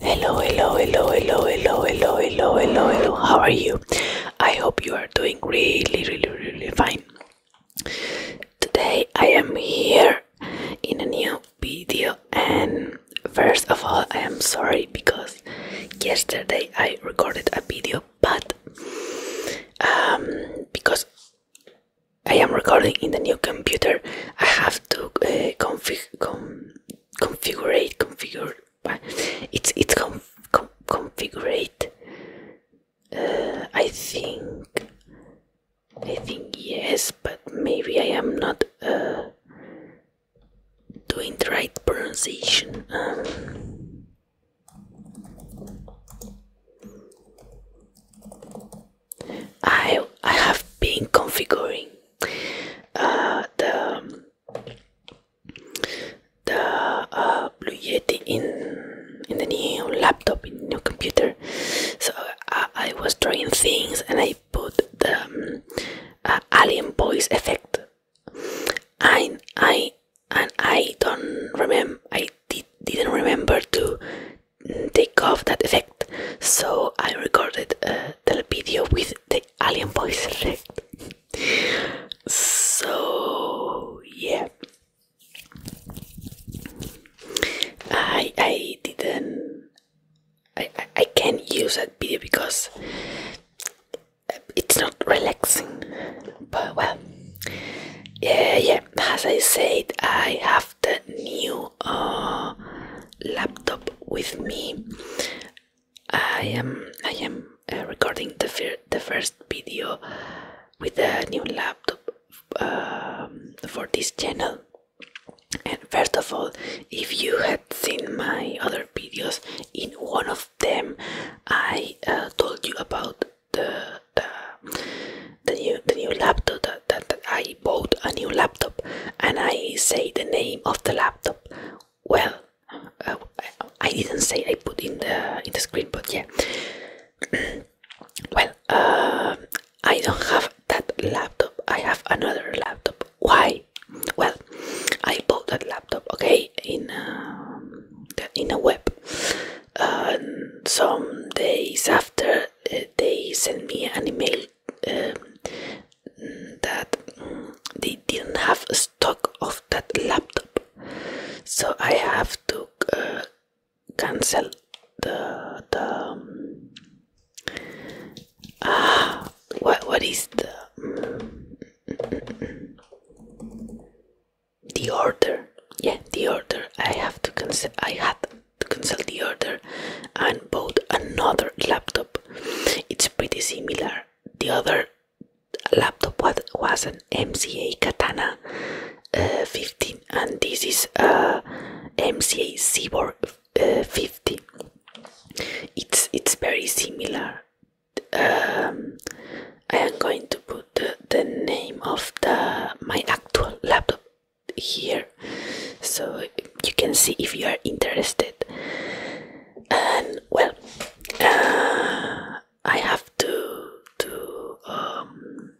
Hello, hello, hello, hello, hello, hello, hello, hello, How are you? I hope you are doing really, really, really fine. Today I am here in a new video, and first of all, I am sorry because yesterday I recorded a video, but um, because I am recording in the new computer, I have to uh, configure. Configure, configured but it's it's com, uh, I think I think yes but maybe I am not uh, doing the right pronunciation um, I I have been configuring the the uh, Blue Yeti in in the new laptop, in new computer. So uh, I was drawing things, and I put the um, uh, alien voice effect. I I and I don't remember. I did, not remember to mm, take off that effect, so I recorded the video with the alien voice so yeah, I I didn't I I can't use that video because it's not relaxing. But well, yeah yeah. As I said, I have the new no uh, laptop with me. I am I am uh, recording the fir the first video with a new laptop um, for this channel. And first of all, if you had seen my other videos, in one of them I uh, told you about the the new the new laptop that, that I bought a new laptop and I say the name of the laptop. Well, uh, I didn't say I put in the in the screen, but yeah. well, uh, I don't have that laptop. I have another laptop. Why? Well, I bought that laptop. Okay, in um, in a web. Um, some days after they sent me an email um, that they didn't have a stock of that laptop, so I have to uh, cancel the the um, ah what what is the the order yeah the order I have to cancel I had to cancel the order and bought another laptop. It's pretty similar. The other laptop was an MCA Katana uh, 15, and this is a MCA Cyborg uh, 50. It's it's very similar. Um, I am going to put the name of the my actual laptop here so you can see if you are interested and well uh, I have to to um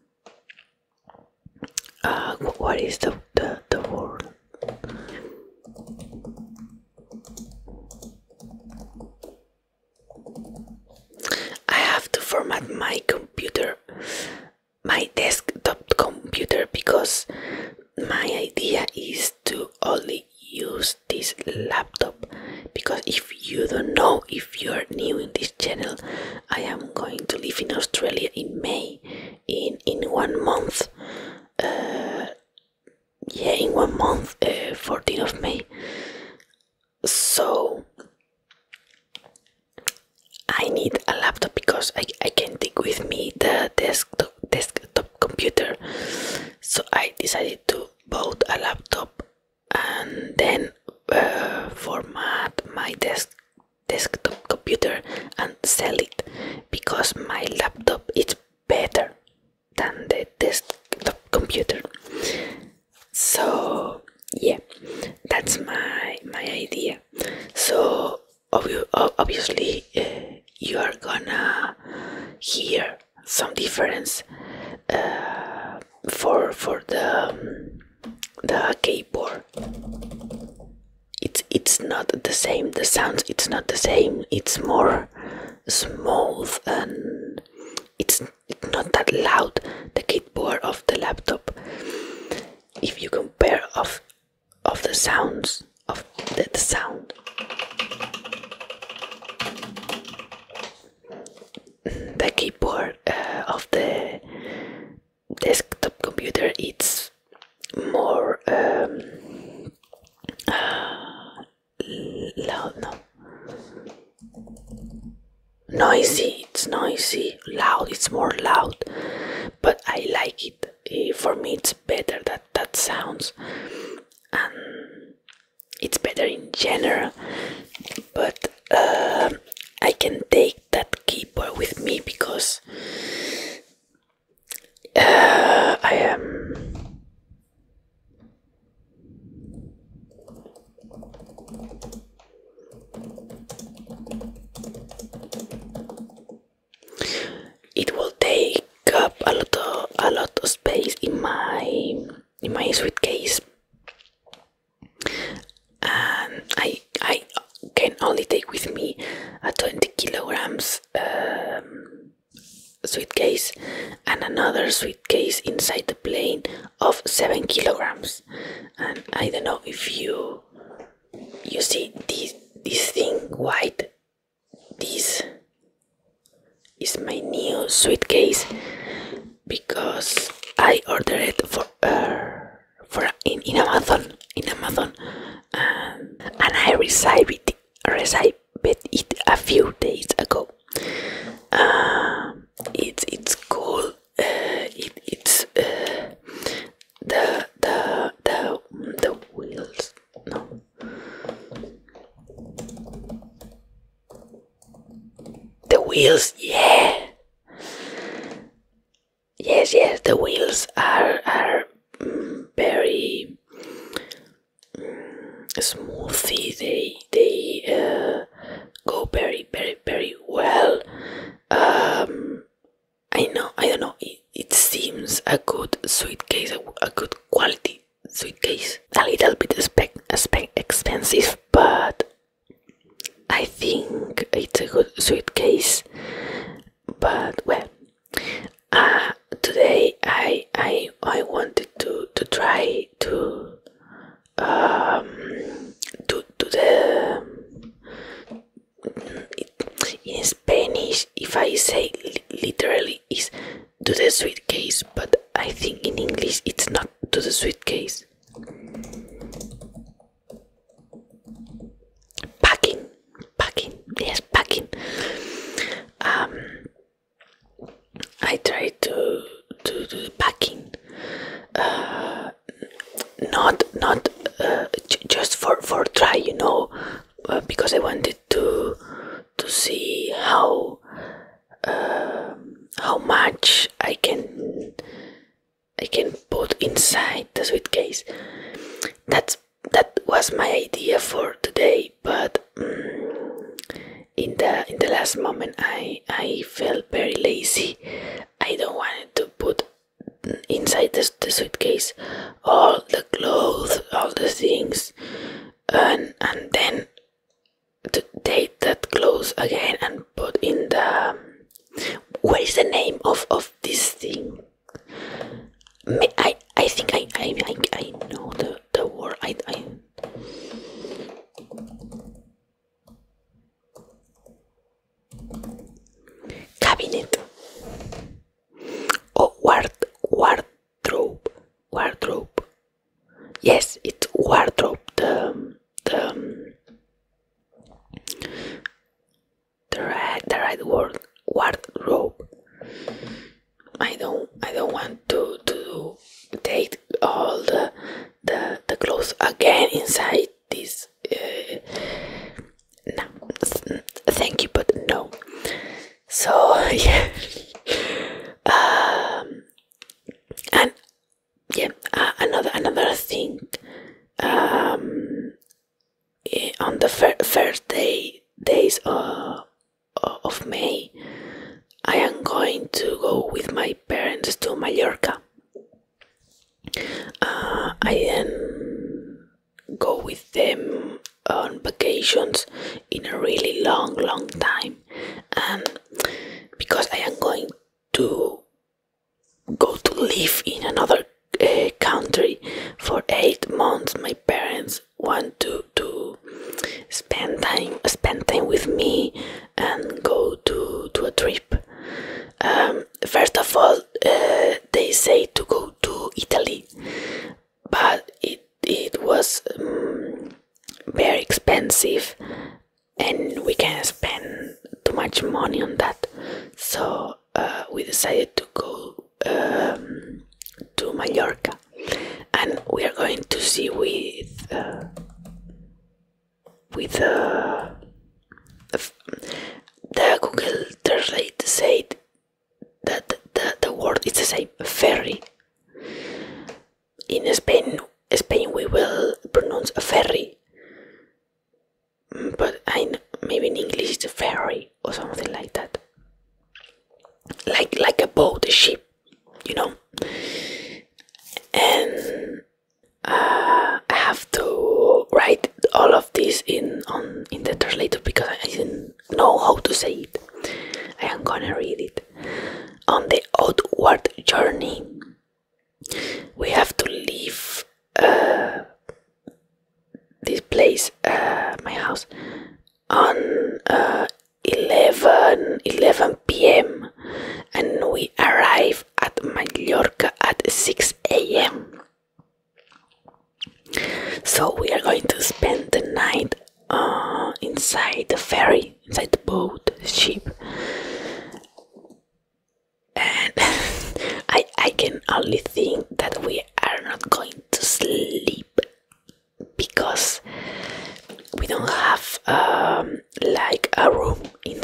uh, what is the the, the word I have to format my computer my desktop computer because my idea is to only use this laptop because if you don't know if you're new in this channel i am going to live in australia in may in in one month uh, yeah in one month uh, 14th of may so I need a laptop because I, I can take with me the desktop desktop computer. So I decided to bought a laptop and then uh, format my desk desktop computer and sell it because my laptop is better than the desktop computer. So yeah, that's my my idea so obviously uh, you are gonna hear some difference uh, for for the um, the keyboard it's it's not the same the sounds it's not the same it's more smooth and it's not that loud the keyboard of the laptop if you compare of of the sounds of the, sound the keyboard uh, of the desktop computer it's more um, uh, no noisy it's noisy loud it's more loud but i like it for me it's better that that sounds and it's better in general but uh, i can take that keyboard with me because uh, i am it will take up a lot of a lot of space in my in my suitcase, and I I can only take with me a twenty kilograms um, suitcase and another suitcase inside the plane of seven kilograms and I don't know if you you see this this thing white this is my new suitcase because I ordered it for uh, for in, in Amazon in Amazon and, I received it received it a few days ago. Um, it's it's cool it, it's uh, the the the the wheels. No. The wheels, yeah. Yes, yes, the wheels are are mm, very mm, smoothy. They they uh, go very, very, very well. Um, I know, I don't know, it, seems a good suitcase, a, good quality suitcase. A little bit spec, expensive, but I think it's a good suitcase. But well, uh, today I I I wanted to to try to um, to, to the in Spanish, if I say literally, is to the suitcase, but I think in English it's not to the suitcase. Packing, packing, yes, packing. Um, I try to to do the packing. Uh, not not uh, just for for try, you know, uh, because I wanted to to see how um, how much I can I can put inside the suitcase. That's that was my idea for today, but. Mm, in the in the last moment, I I felt very lazy. I don't want to put inside the, the suitcase all the clothes, all the things, and and then to take that clothes again and put in the um, what is the name of of this thing? I I think I I I, I know the the word I I cabinet or oh, ward wardrobe wardrobe yes it's wardrobe the the the right the right word wardrobe I don't I don't want to to date all the the, the clothes again inside this uh, no thank you but no so yeah um, and yeah another another thing um, eh, on the fir first day days uh, of May I am going to go with my parents to Mallorca uh, I then go with them on vacations in a really long, long time, and because I am going to go to live in another uh, country for eight months, my parents want to to spend time spend time with me and go to, to a trip. Um, first of all, uh, they say to go to Italy, but it, it was um, very expensive and we can not spend too much money on that. So uh, we decided to go um, to Mallorca and we are going to see with uh, with uh, the Google Translate said that the, the word is the same ferry. In Spain, Spain we will pronounce a ferry, mm, but I maybe in English it's a ferry or something like that, like like a boat, a ship, you know. I have to write all of this in on in the translator because I didn't know how to say it. I am gonna read it. On the outward journey, we have to leave uh, this place, uh, my house, on uh, 11, 11 p.m and we arrive at Majorca at 6 a.m. So we are going to spend the night uh, inside the ferry, inside the boat, ship. And I, I can only think that we are not going to sleep because we don't have um, like a room in,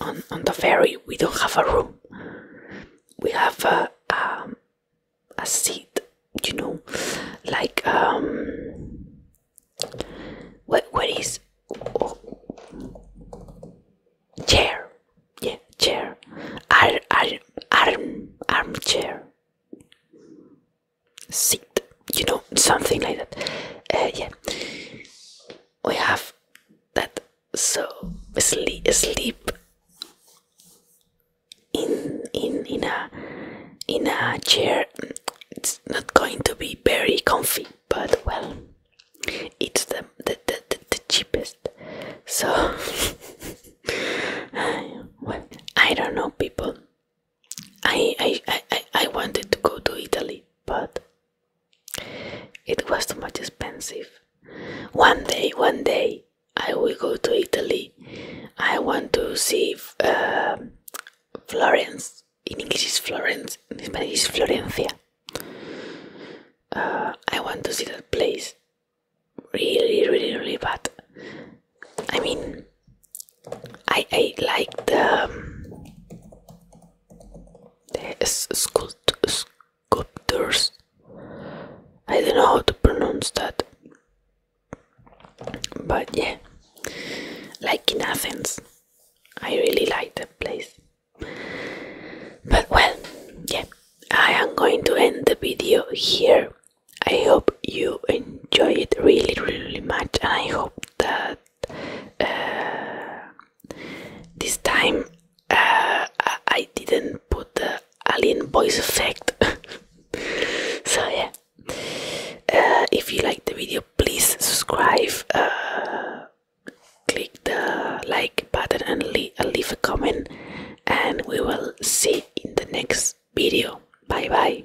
on, on the ferry. We don't have a room. We have a um, a seat, you know, like um, what what is chair? Yeah, chair. Arm arm armchair seat, you know, something like that. Uh, yeah, we have that. So sleep, sleep in in in a in a chair. It's not going to be very comfy, but well, it's the the the, the, cheapest. So I don't know, people. I, I, I, I wanted to go to Italy, but it was too much expensive. One day, one day, I will go to Italy. I want to see um, Florence. In English is Florence, in Spanish is Florencia. Uh, I want to see that place really, really, really bad. I mean, I like the, um, the sculpt sculptors. I don't know how to pronounce that, but yeah, like in Athens, I really like the place. But well, yeah, I am going to end the video here. I hope you enjoy it really, really much, and I hope that uh, this time uh, I didn't put the alien voice effect. so yeah, uh, if you like the video, please subscribe, click the like button, and leave a comment. And we will see in the next video. Bye bye.